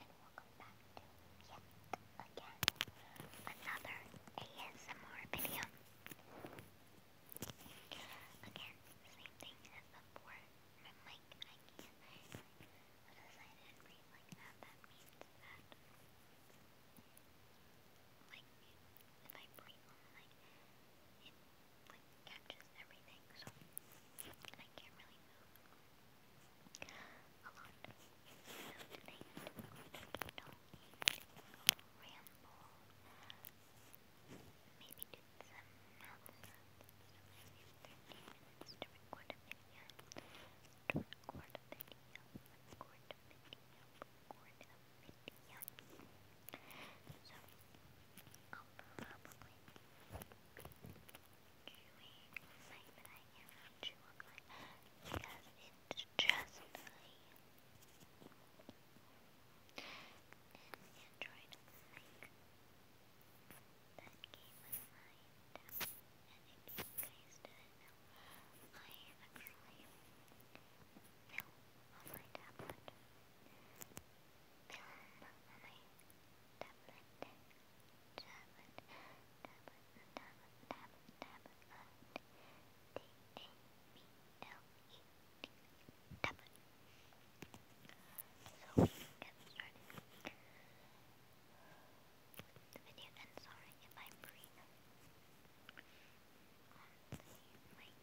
and welcome back to yet again another ASMR video. Again, same thing as before. My mic, I can't. Because I did like that, that means that. Like, if I breathe on it like catches everything, so I can't really move a lot. So tonight, we don't ramble. Maybe do some math lessons. So maybe 30 minutes to record a video. To record a video. Record a video. Record a video. So, I'll probably chewing because it's just me. And Android like that game was mine. And if you guys didn't actually film on my tablet. Film on my so we can get started. The video ends. Sorry if I breathe. Um, my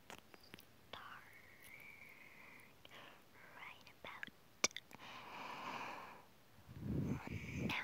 start right about now.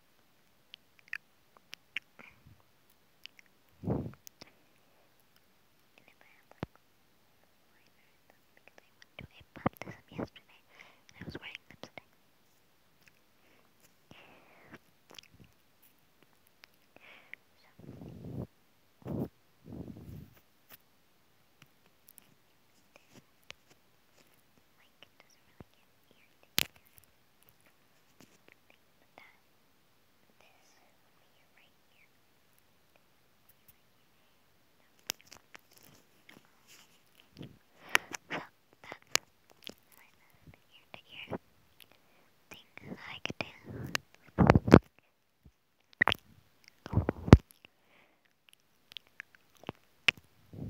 to a baptism yesterday, and I was wearing lipstick. So. Like, it doesn't really get irritated that this would be right here. No. So that's my last ear to ear thing that I could do. Do you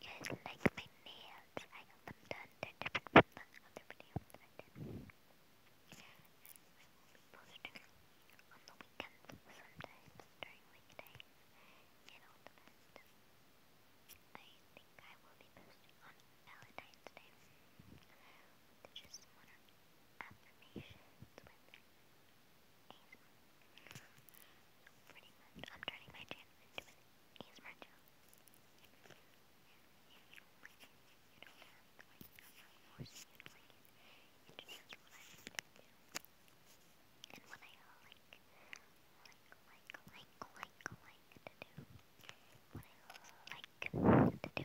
guys like my nails? I got them done. They're different from the other videos I did will be posting on the weekends sometimes during weekdays and all the best. I think I will be posting on Valentine's Day with just one or affirmations with ASMR. So pretty much I'm turning my channel into an ASMR channel. If you like it, you know that. Like, I'm not forcing it, like, it just is what I have to do. And what I like, like, like, like, like, like to do. What I like to do.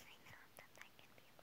I know that that can be a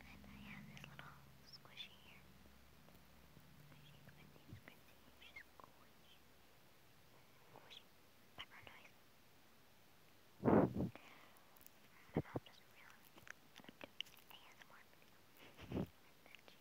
And I have this little squishy here. Squishy, squishy, squishy, squishy. Squishy. Background noise. My mom doesn't realize that I'm doing ASMR video. I bet she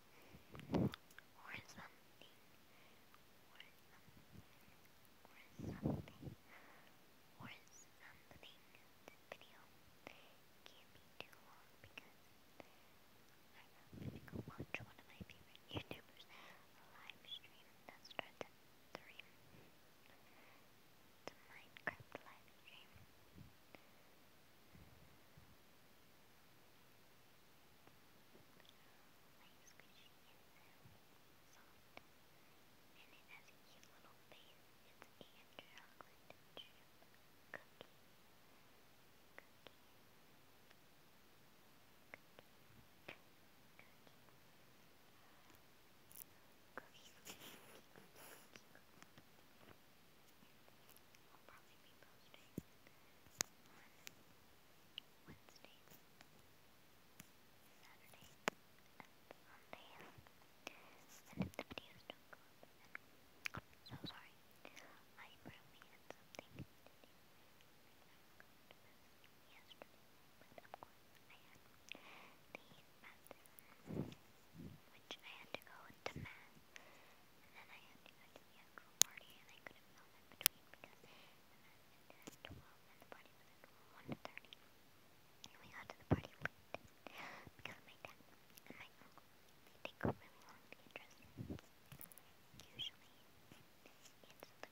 or something, or something, or something, or something. This video can't be too long because I have to go watch one of my favorite YouTubers live stream that starts at Minecraft live like squishy and um, soft. And it has a cute little face. It's a chocolate chip cookie. Cookie. Cookie. Cookie. Cookie. Cookie. Cookie. I'll probably be posting on Wednesday, Saturday, and Sunday. And if the videos don't go up, then I'm so sorry. I probably had something to do. Yesterday, but of course I had the bathroom, which I had to go into math and then I had to go to the actual party and I couldn't film in between because the man ended at 12 and the party was at 1.30. And we got to the party late because my dad and my uncle, they take really long to get dressed. Usually it's the girls who make the um, boys wait, but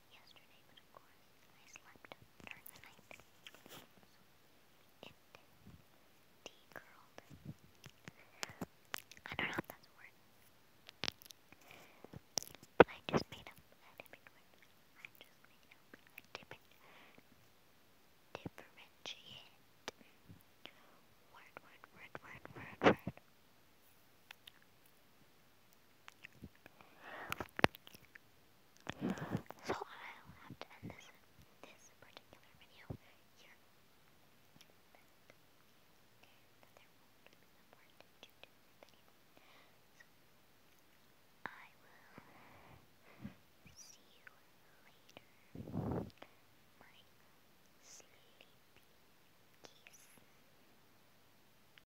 yesterday, but of course I slept during the night. So it de-curled. I don't know if that's a word. But I just made up a different word. I just made up differentiate word, word, word, word, word, word. So I'll have to end this particular video here. I will see you later. My sleepy kiss.